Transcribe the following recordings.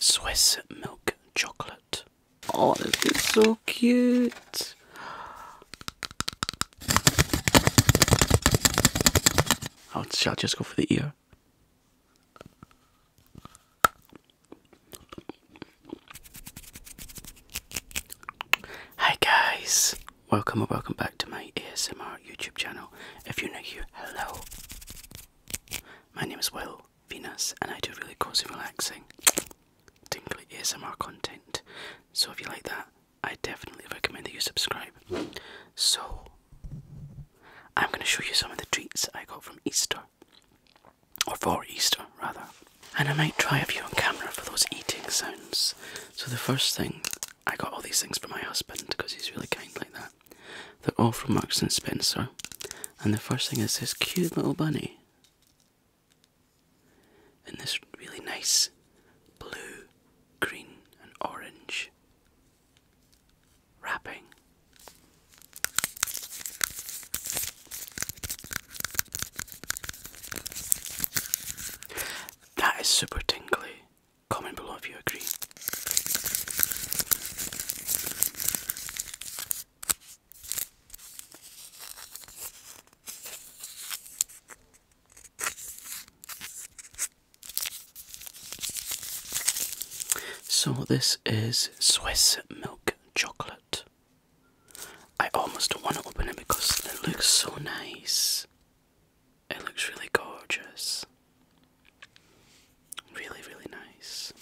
Swiss milk chocolate. Oh, this is so cute. Oh, shall I just go for the ear? Hi guys, welcome or welcome back to my ASMR YouTube channel. If you're new here, hello my name is Will Venus, and I do really cozy, relaxing, tingly ASMR content. So if you like that, I definitely recommend that you subscribe. So I'm going to show you some of the treats I got from Easter, or for Easter rather. And I might try a few on camera for those eating sounds. So the first thing I got all these things for my husband because he's really kind like that. They're all from Marks and Spencer. And the first thing is this cute little bunny. In this really nice blue, green, and orange wrapping. That is super tingly. Comment below if you agree. So, this is Swiss milk chocolate. I almost don't want to open it because it looks so nice. It looks really gorgeous. Really, really nice.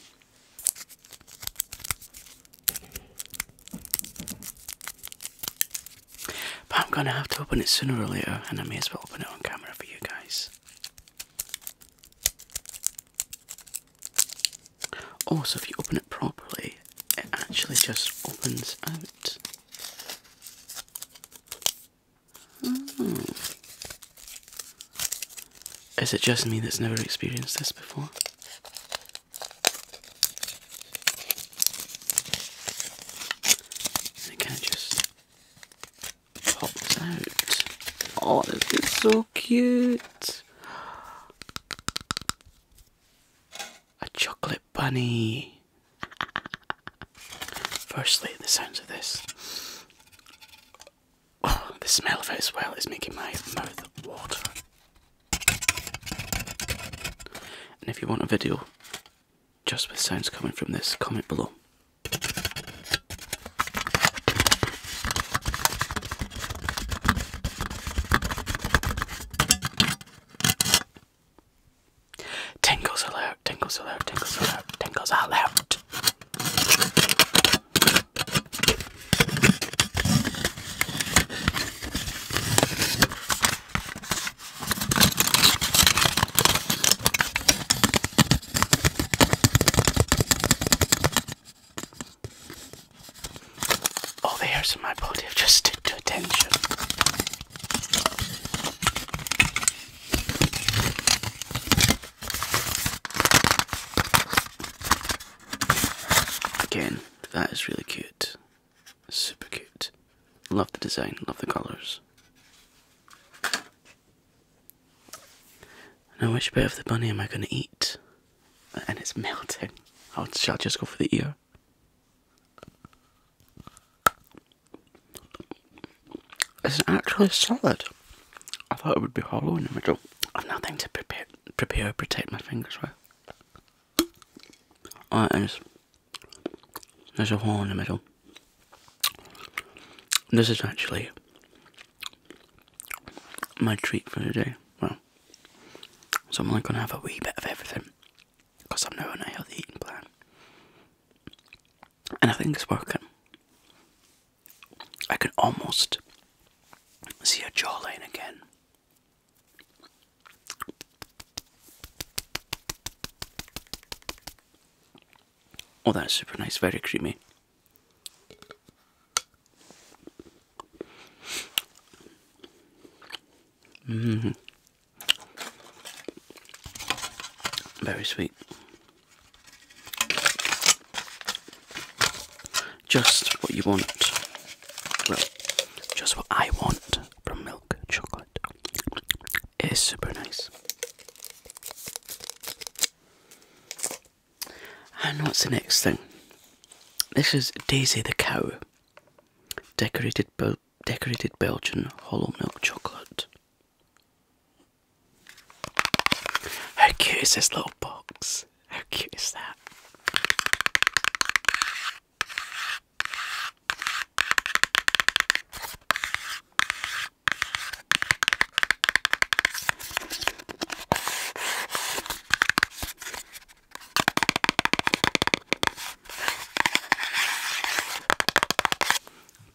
But I'm gonna have to open it sooner or later, and I may as well open it on camera for you guys. Also, if you open it properly, it actually just opens out. Is it just me that's never experienced this before? I can just pop out. Oh, this is so cute a chocolate bunny. Firstly, the sounds of this. Oh, the smell of it as well is making my mouth water. And if you want a video just with sounds coming from this, comment below. Tingles alert, tingles alert, tingles alert, tingles alert. All oh, the hairs in my body have just stood to attention. Again, that is really cute. Super cute. Love the design, love the colours. Now, which bit of the bunny am I going to eat? And it's melting. I'll, i just go for the ear. It's actually solid. I thought it would be hollow in the middle. I've nothing to prepare, prepare or protect my fingers with. Oh, There's a hole in the middle. This is actually my treat for the day. Well, so I'm only going to have a wee bit of everything because I'm now on a healthy eating plan, and I think it's working. I can almost see a jawline again. Oh, that's super nice, very creamy. Mm. Very sweet. Just what you want. Well, just what I want from milk chocolate. It is super nice. And what's the next thing? This is Daisy the cow. Decorated, Bel decorated Belgian hollow milk chocolate. How cute is this little box? How cute is that?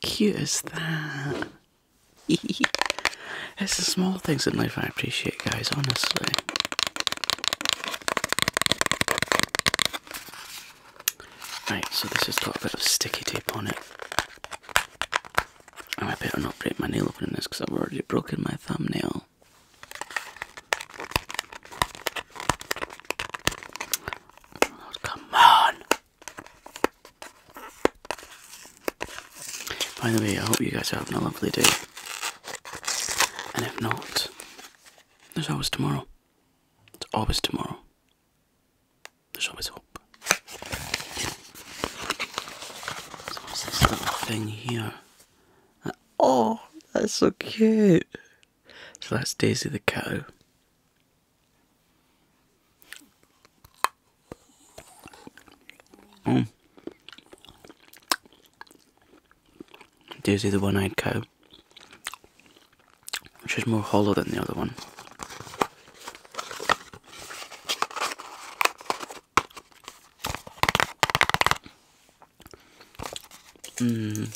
Cute as that. it's the small things in life I appreciate, guys, honestly. Right, so this has got a bit of sticky tape on it. I might better not break my nail opening this because I've already broken my thumbnail come on! By the way, I hope you guys are having a lovely day. And if not, there's always tomorrow. It's always tomorrow. There's always hope. So this little thing here? Oh, that's so cute. So that's Daisy the cow. Mm. Daisy the one eyed cow. which is more hollow than the other one. Mm,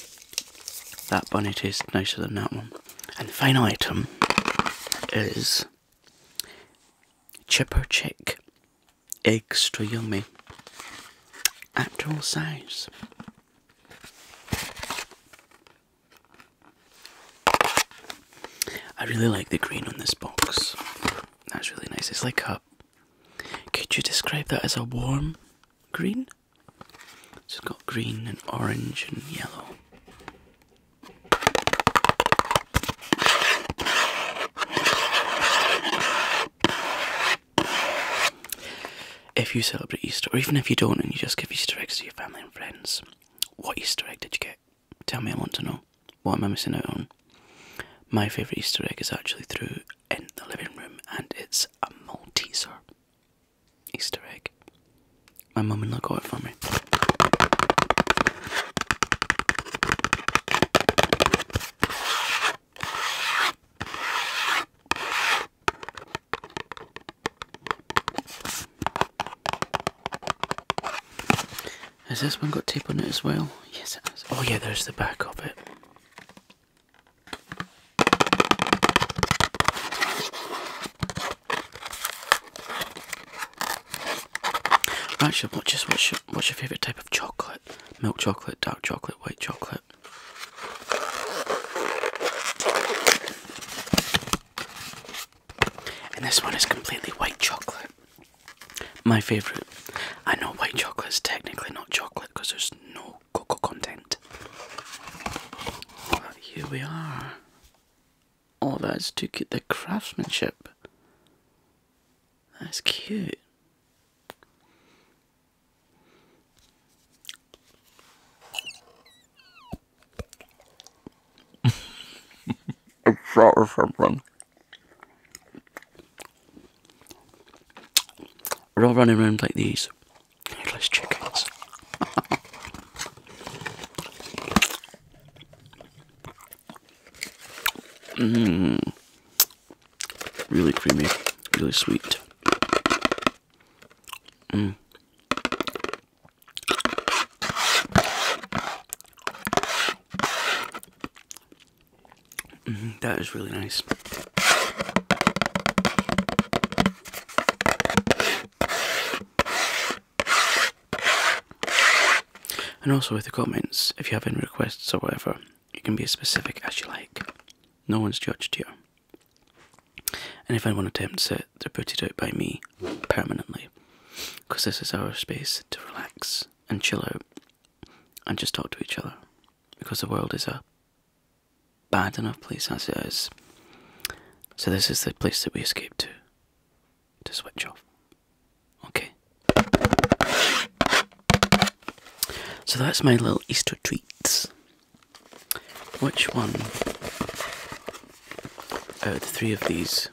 that bonnet is nicer than that one. And the final item is Chipper Chick Extra Yummy Actual Size. I really like the green on this box. That's really nice. It's like a could you describe that as a warm green? it's got green and orange and yellow. If you celebrate Easter, or even if you don't and you just give Easter eggs to your family and friends, what Easter egg did you get? Tell me, I want to know. What am I missing out on? My favourite Easter egg is actually through in the living room, and it's a Malteser Easter egg. My mum and dad got it for me. Has this one got tape on it as well? Yes, it has. Oh, yeah, there's the back of it. Actually, what's your favourite type of chocolate? Milk chocolate, dark chocolate, white chocolate. And this one is completely white chocolate. My favourite. I know white chocolate is technically not chocolate because there's no cocoa content. here we are. Oh, that's to get the craftsmanship. That's cute a shot or something. We're all running around like these headless chickens. Mmm. Really creamy, really sweet. Mm. Mm-hmm, that is really nice. And also with the comments, if you have any requests or whatever, you can be as specific as you like. No one's judged here. And if anyone attempts it, they're put it out by me permanently because this is our space to relax and chill out and just talk to each other because the world is a bad enough place as it is. So, this is the place that we escape to to switch off. Okay. So, that's my little Easter treats. Which one uh, the three of these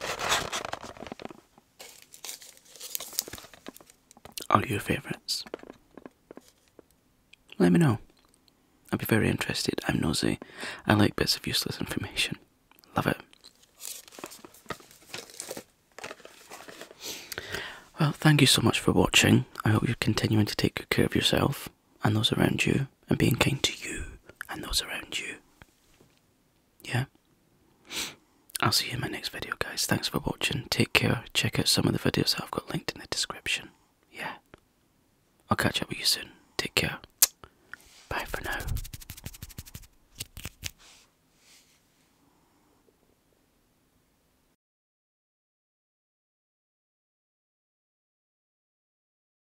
are your favourites? Let me know. I'd be very interested. I'm nosy. I like bits of useless information. Love it. Well, thank you so much for watching. I hope you're continuing to take good care of yourself and those around you and being kind to you and those around you. Yeah? I'll see you in my next video, guys. Thanks for watching. Take care. Check out some of the videos that I've got linked in the description. Yeah? I'll catch up with you soon. Take care. Bye for now.